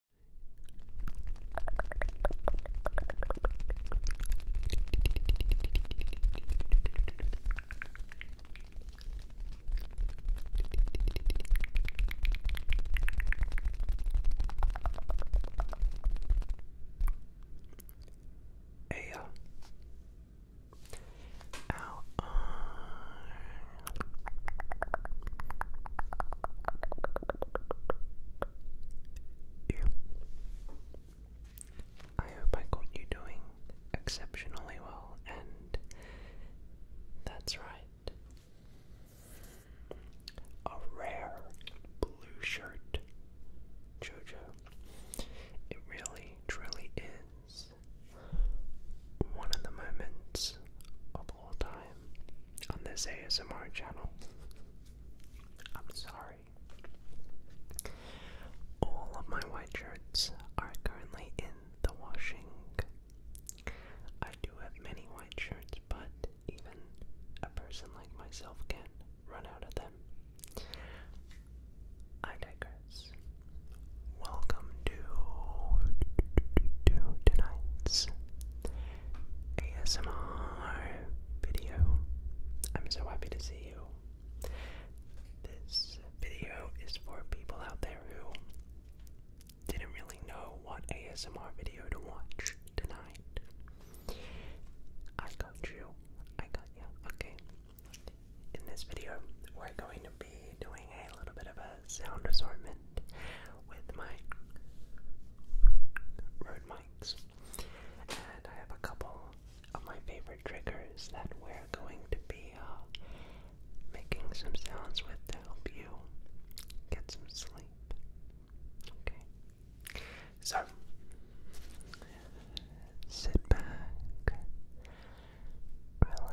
Our eyes I hope I got you doing exceptionally well, and that's right. A rare blue shirt, JoJo. It really, truly is one of the moments horrible time on this ASMR channel. I'm sorry. All of my white shirts are currently in the washing. I do have many white shirts, but even a person like myself can run out of them. I digress. Welcome to tonight's ASMR video. I'm so happy to see you. This video is for people out there who didn't really know what ASMR video to watch tonight. I got you. I got you. Okay. In this video, we're going to be doing a little bit of a sound assortment with my Rode And I have a couple of my favorite triggers that we're going to be uh, making some sounds with to help you get some sleep. Okay. So, sit back, relax,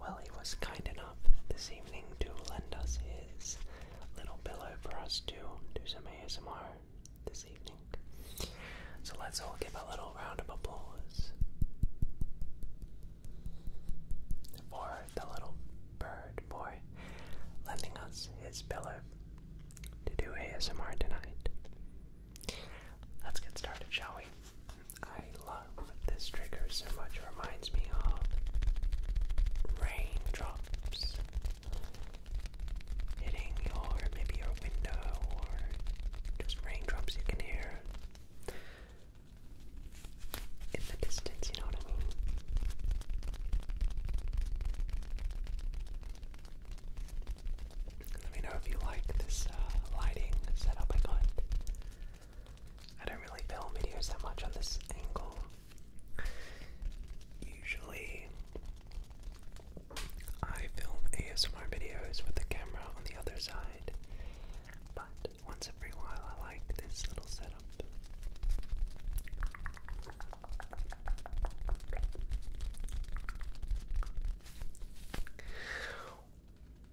well, he was kind enough this evening to lend us his little pillow for us to do some ASMR this evening. So let's all give a little round of applause for the little bird boy lending us his pillow to do ASMR tonight. Let's get started, shall we? I love this trigger so much. It reminds me of raindrops hitting your maybe your window or just raindrops you can hear in the distance, you know what I mean? Let me know if you like this uh, lighting setup I got. I don't really film videos that much on this angle. Usually, I film ASMR videos with the camera on the other side, but once every while, I like this little setup.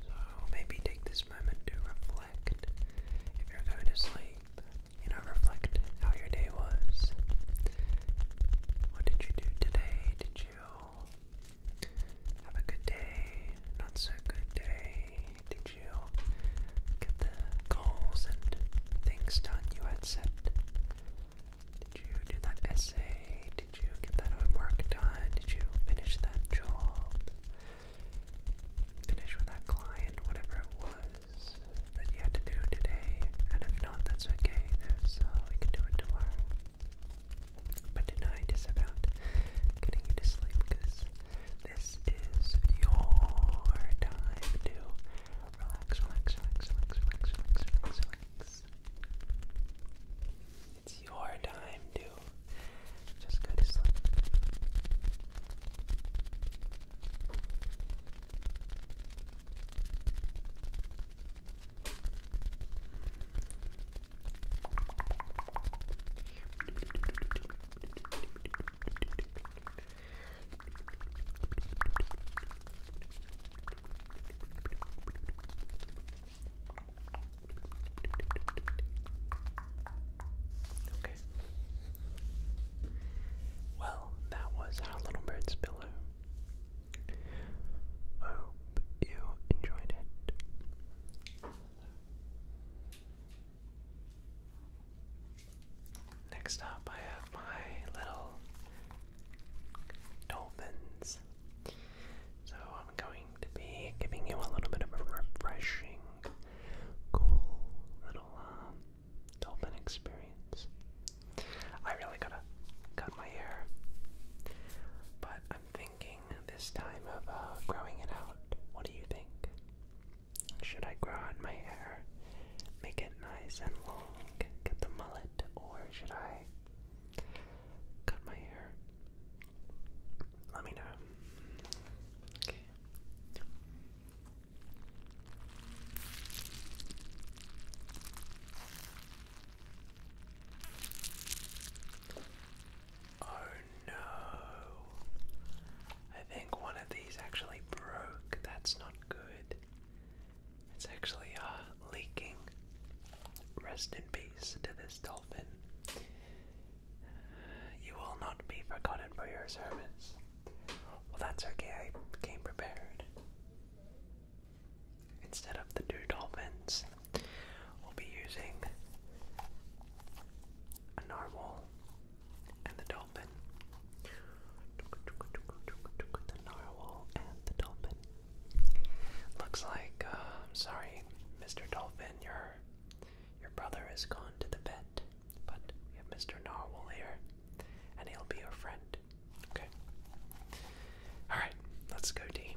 so maybe take this moment to reflect. If you're going to sleep, you know, reflect how your day was. What did you do today? Did you have a good day? Not so good day? Did you get the goals and things done you had set? Did you do that essay? Did you get that homework done? Did you finish that job? Finish with that client, whatever it was that you had to do today? And if not, that's okay. There's, we can do it tomorrow. But tonight is about getting you to sleep because this is your time to relax, relax, relax, relax, relax, relax, relax, relax. It's your time to just go to sleep. Okay. Well, that was our little bird's pillow. I hope you enjoyed it. Next up, I have my little dolphins. So I'm going to be giving you a little bit of a refreshing, cool little um, experience. I really gotta cut my hair, but I'm thinking this time of uh, growing it out. What do you think? Should I grow out my hair, make it nice and long, get the mullet, or should I cut my hair? Let me know. Oh no. I think one of these actually broke. That's not good. It's actually uh, leaking. Rest in peace to this dolphin. You will not be forgotten for your service. Well, that's okay. I came prepared. Instead of the two dolphins, we'll be using a narwhal and the dolphin. The narwhal and the dolphin. Looks like, uh, I'm sorry, Mr. Dolphin, your your brother has gone to the vet, but we have Mr. Narwhal here, and he'll be your friend. Okay. All right, let's go, team.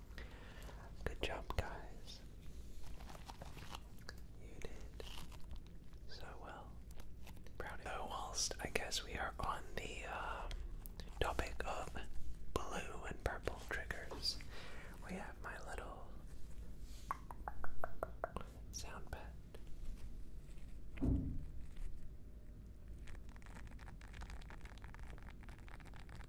Good job, guys. You did so well. Proud whilst I guess we are on the um, topic of blue and purple triggers, we have my little sound pad.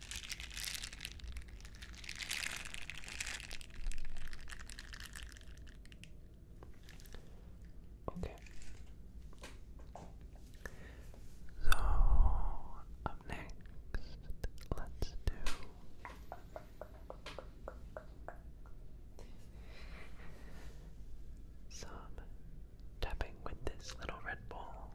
Okay. So next, let's do some tapping with this little red ball.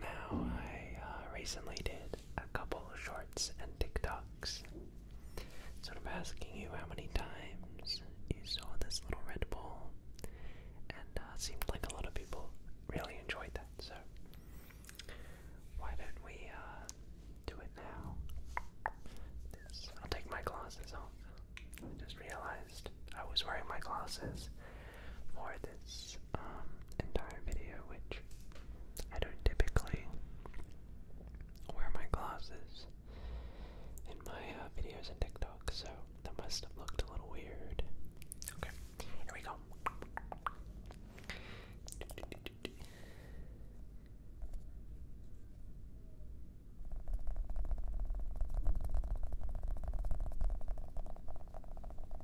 Now, I uh, recently did a couple shorts and TikToks. I'm asking you how many times you saw this little Red ball, and uh, seemed like a lot of people really enjoyed that. So, why don't we uh, do it now? I'll take my glasses off. I just realized I was wearing my glasses more this um, entire video, which I don't typically wear my glasses in my uh, videos and TikTok, so that must have looked a little weird. Okay, here we go.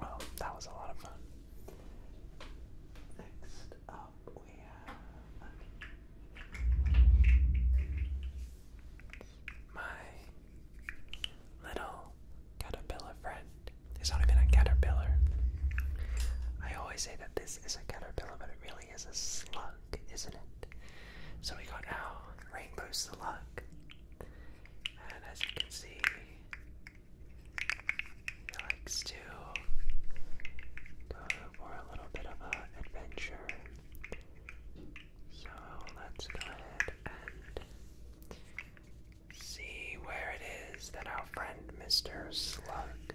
Well, that was a lot of fun. Next up, we have my little caterpillar friend. There's not even a caterpillar. I always say that this is a caterpillar, but it really actually is a slug, isn't it? So we got our rainbow slug. And as you can see, he likes to go for a little bit of an adventure. So let's go ahead and see where it is that our friend Mr. Slug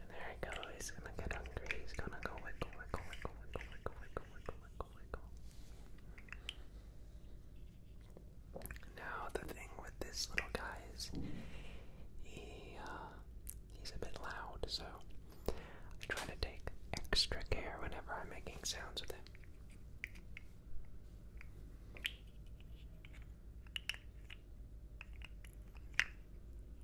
And there he goes. He's gonna get hungry. He's gonna go wiggle, wiggle, wiggle, wiggle, wiggle, wiggle, wiggle, wiggle, wiggle. Now the thing with this little guy is he uh, he's a bit loud, so I try to take extra care whenever I'm making sounds with him.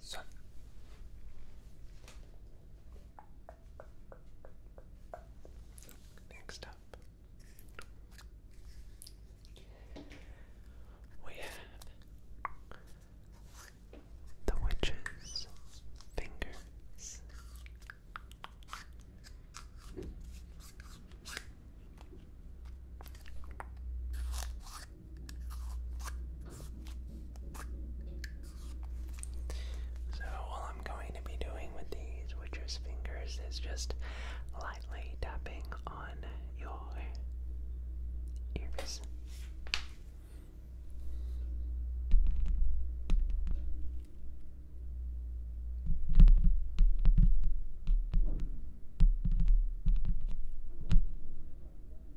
Sun. Next up, we have the witch's fingers. So, all I'm going to be doing with these witcher's fingers is just lightly tapping on your ears.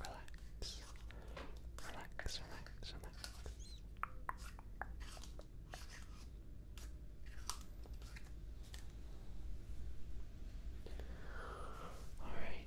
Relax. Relax, relax, relax. All right.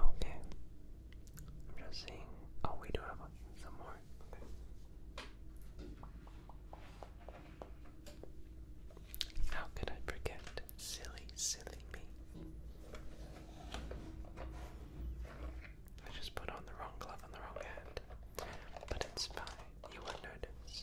Okay. I'm just seeing. Oh, we do have some more. How could I forget? Silly, silly me. I just put on the wrong glove on the wrong hand. But it's fine, you won't notice.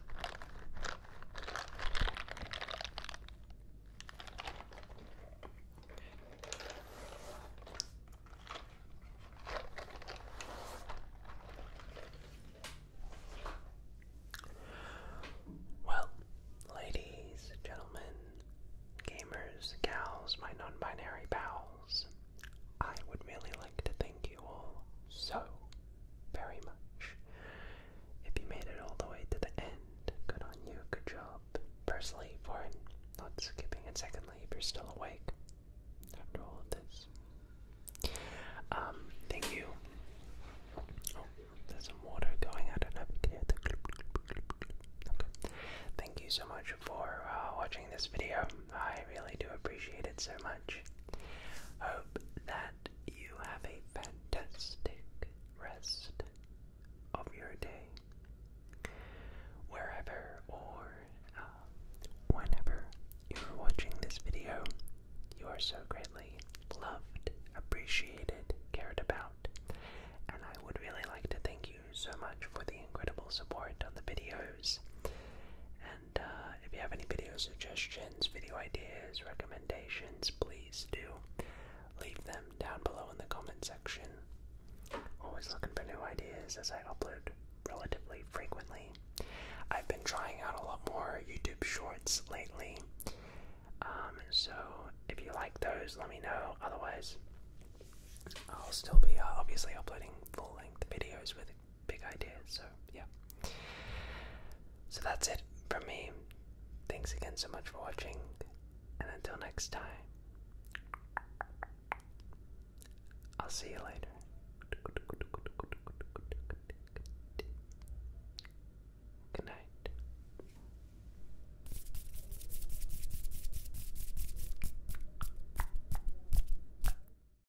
Well, ladies, gentlemen, gamers, gals, my non binary pals, I would really like to thank you you all so very much. If you made it all the way to the end, good on you, good job. Personally, for not skipping, and secondly, if you're still awake after all of this. Um, thank you. Oh, there's some water going out and up here. Okay. Thank you so much for uh, watching this video. I really do appreciate it so much. Hope that you have a fantastic rest of your day. Wherever or uh, whenever you're watching this video, you are so greatly loved, appreciated, cared about, and I would really like to thank you so much for the incredible support on the videos uh, if you have any video suggestions, video ideas, recommendations, please do leave them down below in the comment section. Always looking for new ideas as I upload relatively frequently. I've been trying out a lot more YouTube shorts lately. Um, so if you like those, let me know. Otherwise, I'll still be uh, obviously uploading full length videos with big ideas. So, yeah. So that's it for me. Thanks again so much for watching, and until next time, I'll see you later. Good night.